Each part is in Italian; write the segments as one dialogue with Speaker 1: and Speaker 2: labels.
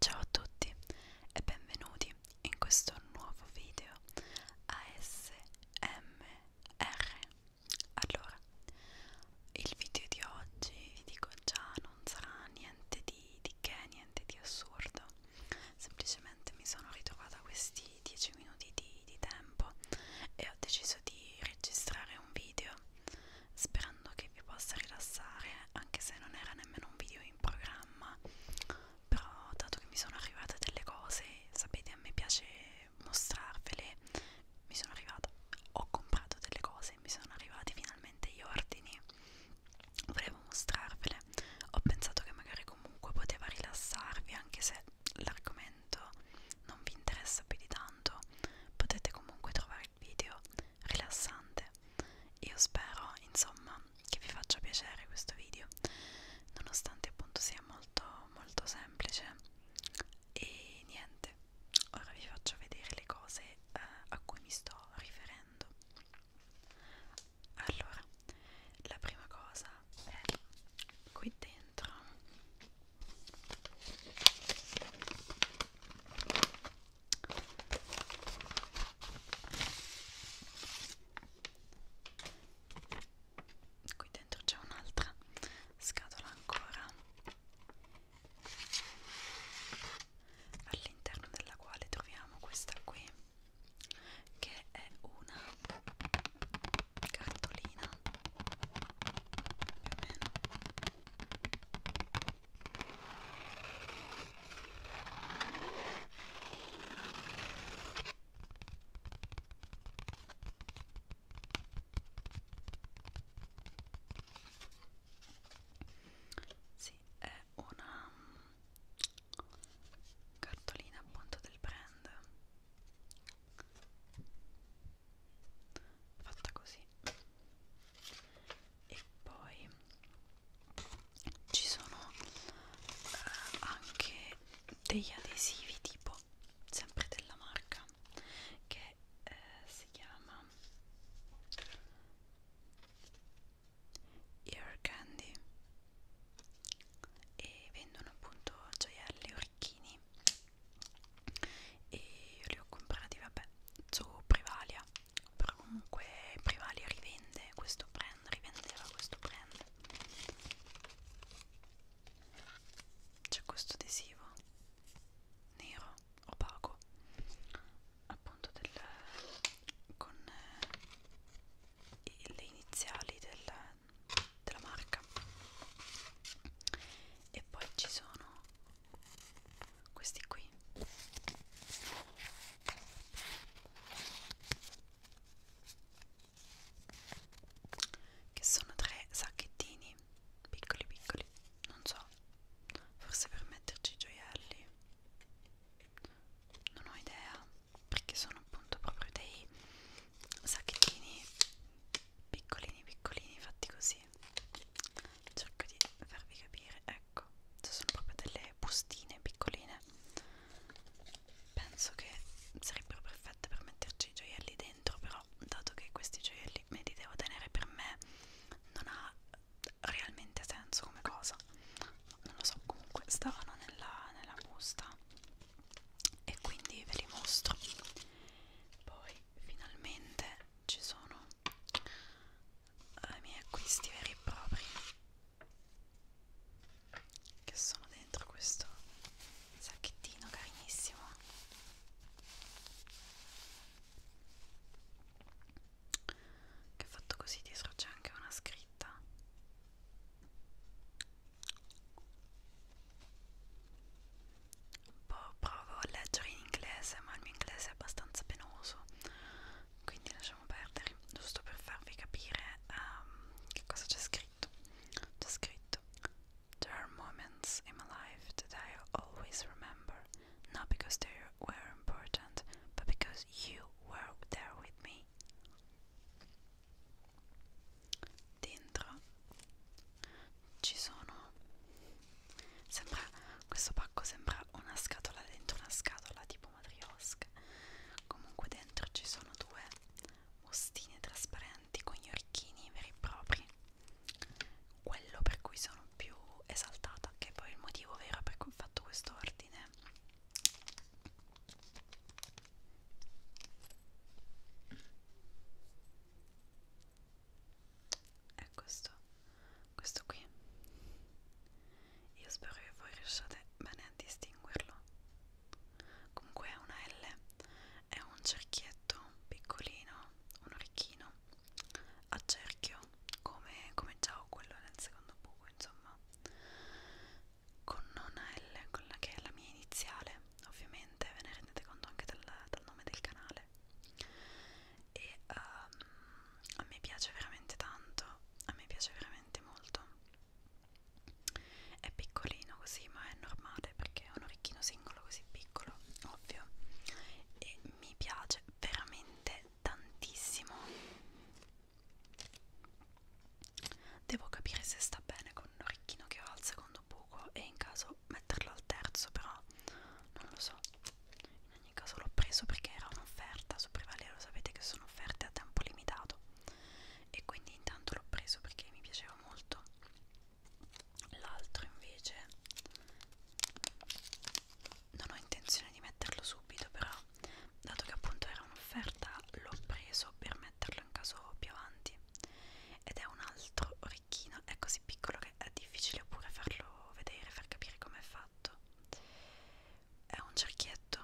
Speaker 1: Ciao a tutti e benvenuti in questo nuovo video ASMR. Allora, il video di oggi vi dico già non sarà niente di, di che, niente di assurdo, semplicemente mi sono ritrovata questi 10 minuti di, di tempo e ho deciso di registrare un video sperando che vi possa rilassare anche se non era nemmeno un video in programma però dato che mi sono arrivate delle cose sapete a me piace mostrarvele mi sono arrivata ho comprato delle cose mi sono arrivati finalmente gli ordini volevo mostrarvele ho pensato che magari comunque poteva rilassarvi anche se l'argomento non vi interessa più di tanto potete comunque trovare il video rilassante io spero insomma che vi faccia piacere questo video nonostante appunto sia molto molto semplice e niente ora vi faccio vedere le cose eh, a cui mi sto riferendo allora la prima cosa è qui dentro qui dentro c'è un'altra scatola ancora all'interno della quale troviamo questa qui che è una cartolina più o meno sì, è una cartolina appunto del brand fatta così e poi ci sono eh, anche degli adesivi tipo sempre della marca che eh, si chiama Ear Candy e vendono appunto gioielli, orecchini e io li ho comprati vabbè su Privalia però comunque Privalia rivende questo brand rivendeva questo brand c'è questo adesivo nero opaco appunto del, con eh, le iniziali del, della marca e poi ci sono questi qui che sono tre sacchettini piccoli piccoli non so forse per metterci i gioielli non ho idea perché sono appunto proprio dei sacchettini piccolini piccolini fatti così cerco di farvi capire ecco sono proprio delle bustine piccoline penso che sarebbero perfette per metterci i gioielli dentro però dato che questi gioielli me li devo tenere per me non ha realmente senso come cosa non lo so comunque stavano nella, nella busta e quindi ve li mostro poi finalmente ci sono eh, i miei acquisti veri e propri che sono dentro questo sacchettino carinissimo che è fatto così dietro c'è anche una scritta poi boh, provo a leggere in inglese, ma il mio inglese è abbastanza penoso, quindi lasciamo perdere, giusto per farvi capire um, che cosa c'è scritto. C'è scritto: There are moments in my life that I always remember, not because they were important, but because you were there with me dentro ci sono sembra questo pacco sembra una scatola dentro una scatola tipo matriosca comunque dentro ci sono due bustine trasparenti con gli orecchini veri e propri quello per cui sono più esaltata che poi il motivo vero per cui ho fatto questo ordine è questo questo qui io spero che voi riusciate bene a distinguerlo comunque è una L è un cerchietto piccolino un orecchino a cerchio come, come già ho quello nel secondo buco insomma con una L con la che è la mia iniziale ovviamente ve ne rendete conto anche del, dal nome del canale e um, a me piace veramente tanto a me piace veramente molto è piccolino così ma è normale perché è un orecchino singolo così piccolo ovvio e mi piace veramente tantissimo Devo capire se sta bene con un orecchino che va al secondo buco e in caso metterlo al terzo, però non lo so. In ogni caso l'ho preso perché era un'offerta, su Prevalero sapete che sono offerte a tempo limitato e quindi intanto l'ho preso perché mi piaceva molto. L'altro invece non ho intenzione di metterlo subito, però dato che appunto era era un'offerta l'ho preso per metterlo in caso più avanti ed è un altro orecchino, è così piccolo che è difficile pure farlo vedere, far capire com'è fatto è un cerchietto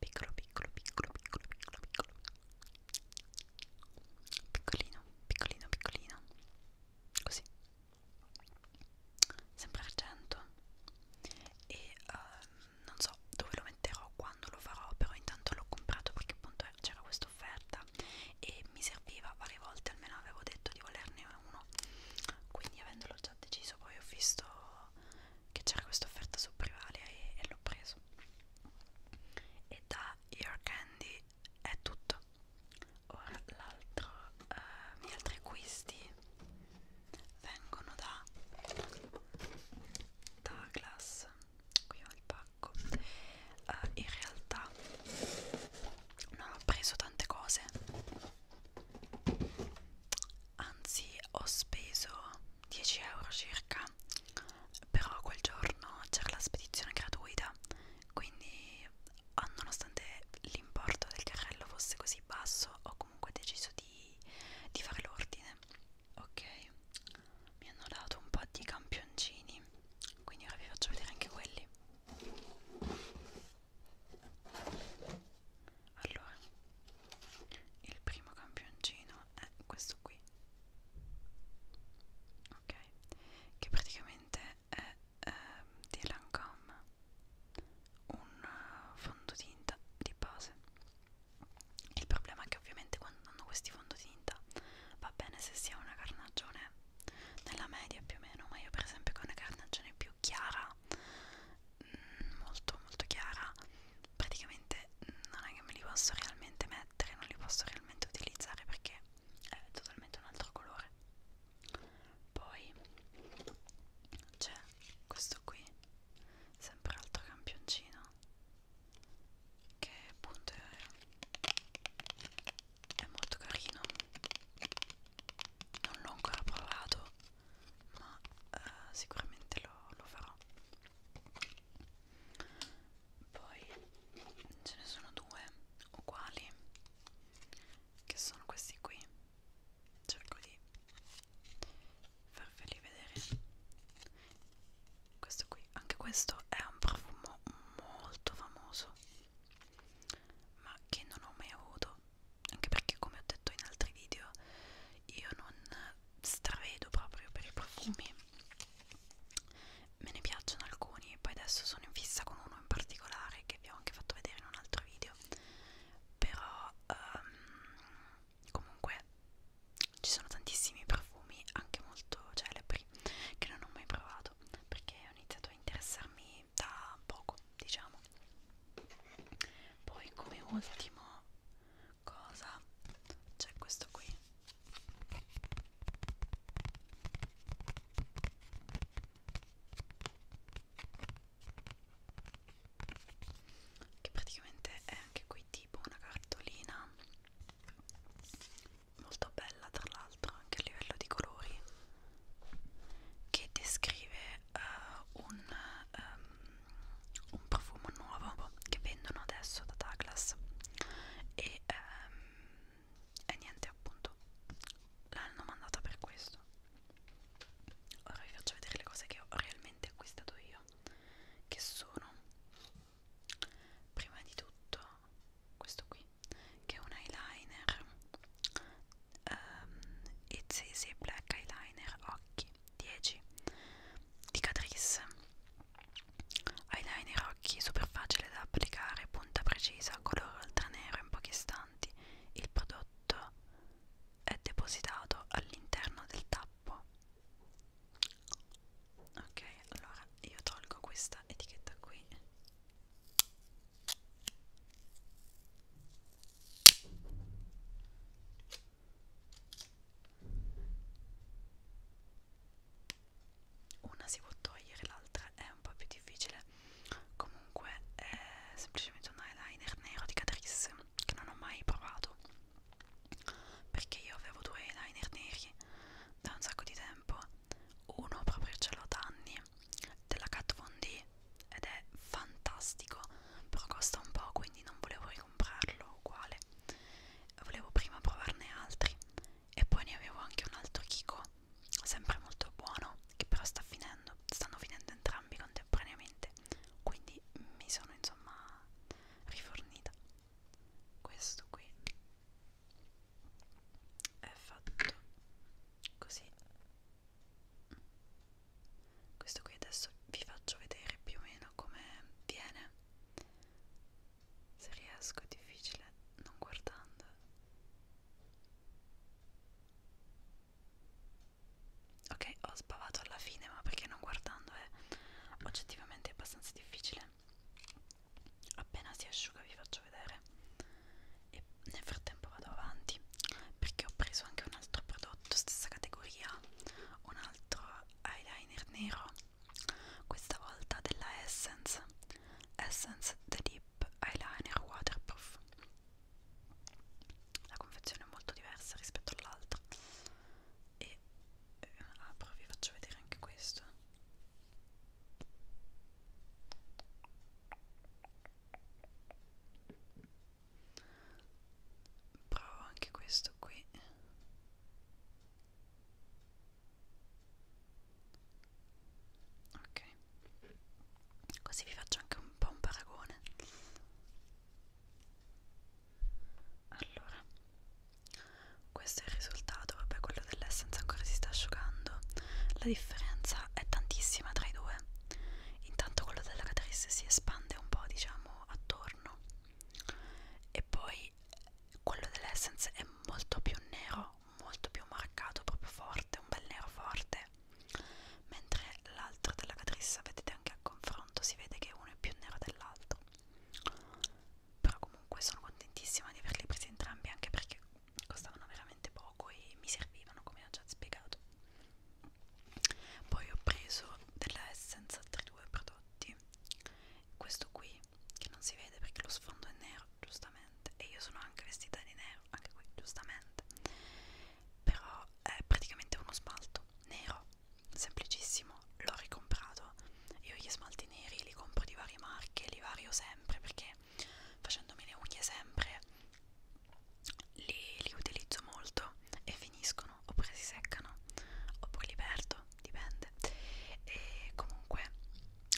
Speaker 1: piccolo piccolo piccolo piccolo piccolo piccolo piccolino piccolino piccolino così sembra argento e um, non so dove lo metterò, quando lo farò, però intanto l'ho comprato perché appunto c'era questa offerta e mi serviva varie volte, almeno avevo detto di volerne uno, quindi avendolo già deciso poi ho visto che c'era questa offerta su Privalia e, e l'ho preso. E da Your Candy è tutto. Ora l'altro, eh, gli altri acquisti vengono da Douglas qui ho il pacco uh, in realtà non ho preso tante cose anzi ho speso 10 euro circa però quel giorno c'era la spedizione gratuita quindi ah, nonostante l'importo del carrello fosse così basso ho comunque deciso di, di fare l'ordine ok mi hanno dato un po' di campioncini quindi ora vi faccio vedere anche quelli allora il primo campioncino è questo qui ok che praticamente è eh, di Lancome un eh, fondotinta di base il problema è che ovviamente quando danno questi fondotinta va bene se si ha una carnagione nella media più o meno, ma io per esempio con una carnagione più chiara, mm, molto molto chiara, praticamente non è che me li posso realmente mettere, non li posso realmente utilizzare perché è totalmente un altro colore. Poi c'è questo qui, sempre altro campioncino che appunto è, è molto carino non l'ho ancora provato ma uh, sicuramente lo, lo farò poi ce ne sono due uguali che sono questi qui cerco di farveli vedere questo qui anche questo è un profumo molto famoso ma che non ho mai avuto anche perché come ho detto in altri video io non stravedo proprio per i profumi me ne piacciono alcuni poi adesso sono in fissa con uno in particolare che vi ho anche fatto vedere in un altro video però um, comunque ci sono tantissimi profumi anche molto celebri che non ho mai provato perché ho iniziato a interessarmi da poco diciamo poi come ultimo cosa c'è questo qui che praticamente è anche qui tipo una cartolina molto bella tra l'altro anche a livello di colori che descrive uh, un, um, un profumo nuovo che vendono adesso da Douglas e, um, e niente appunto l'hanno mandata per questo ora vi faccio vedere le cose che ho realmente acquistato io che sono prima di tutto questo qui che è un eyeliner um, It's Black Eyeliner Occhi 10 di Catrice eyeliner occhi super facile da applicare punta precisa colore oltranero in pochi istanti il prodotto è depositato all'interno del tappo ok allora io tolgo questa etichetta qui una si può togliere l'altra è un po' più difficile comunque è semplicemente un eyeliner nero di Catrice che non ho mai provato perché io avevo due eyeliner neri da un sacco di tempo uno proprio ce l'ho da anni della Kat Von D ed è fantastico però costa un po' quindi non volevo ricomprarlo uguale volevo prima provarne altri e poi ne avevo anche un altro Kiko sempre molto buono che però sta finendo stanno finendo entrambi contemporaneamente quindi mi sono insomma rifornita questo qui è fatto così questo qui adesso vi faccio vedere più o meno come viene se riesco è difficile non guardando ok ho sbavato alla fine ma perché non guardando è oggettivamente abbastanza anzi difficile appena si asciuga vi faccio vedere e nel frattempo vado avanti perché ho preso anche un altro prodotto stessa categoria un altro eyeliner nero questa volta della Essence Essence The Deep Eyeliner Waterproof la confezione è molto diversa rispetto all'altra e eh, apro ah, vi faccio vedere anche questo provo anche questo qui ok così vi faccio anche un po' un paragone allora questo è il risultato vabbè quello dell'essence ancora si sta asciugando la differenza è tantissima tra i due intanto quello della catrice si espande un po' diciamo attorno e poi quello dell'essence è molto più nero molto più marcato proprio forte un bel nero forte mentre l'altro della catrice vedete anche a confronto si vede che uno è più nero dell'altro però comunque sono contentissima di averli presi entrambi anche perché costavano veramente poco e mi servivano come ho già spiegato poi ho preso della Essence altri due prodotti questo qui che non si vede perché lo sfondo è nero giustamente e io sono anche vestita di nero anche qui giustamente però è praticamente uno smalto nero semplicissimo, l'ho ricomprato. Io gli smalti neri li compro di varie marche, li vario sempre perché facendomi le unghie sempre li, li utilizzo molto e finiscono oppure si seccano oppure li perdo, dipende. E comunque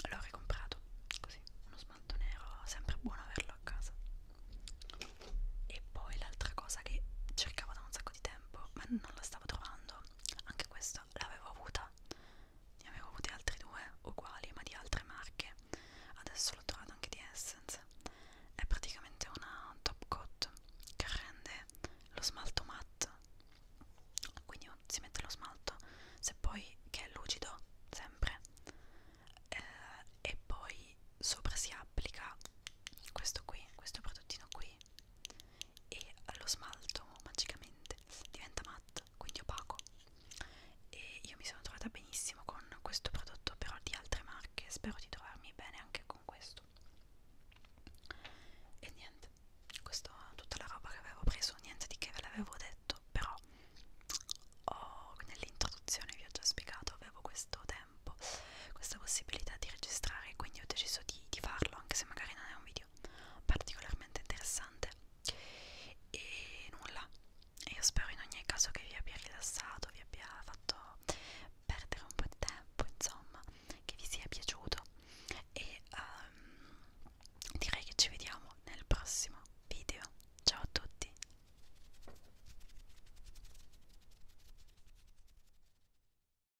Speaker 1: l'ho ricomprato così, uno smalto nero, sempre buono averlo a casa. E poi l'altra cosa che cercavo da un sacco di tempo, ma non la stavo trovando, anche questa l'avevo avuta ne avevo avute altre due uguali ma di altre marche adesso l'ho trovata anche di Essence è praticamente una top coat che rende lo smalto matte quindi si mette lo smalto se poi che è lucido sempre eh, e poi sopra si applica questo qui questo prodottino qui e lo smalto magicamente diventa matte, quindi opaco e io mi sono trovata benissimo con questo prodotto però di altre marche spero di trovarmi bene anche con questo e niente questa è tutta la roba che avevo preso niente di che ve l'avevo detto però oh, nell'introduzione vi ho già spiegato avevo questo tempo questa possibilità di registrare quindi ho deciso di di, di farlo, anche se magari non è un video particolarmente interessante. E nulla, io spero in ogni caso che vi abbia rilassato, vi abbia fatto perdere un po' di tempo, insomma, che vi sia piaciuto. E um, direi che ci vediamo nel prossimo video. Ciao a tutti!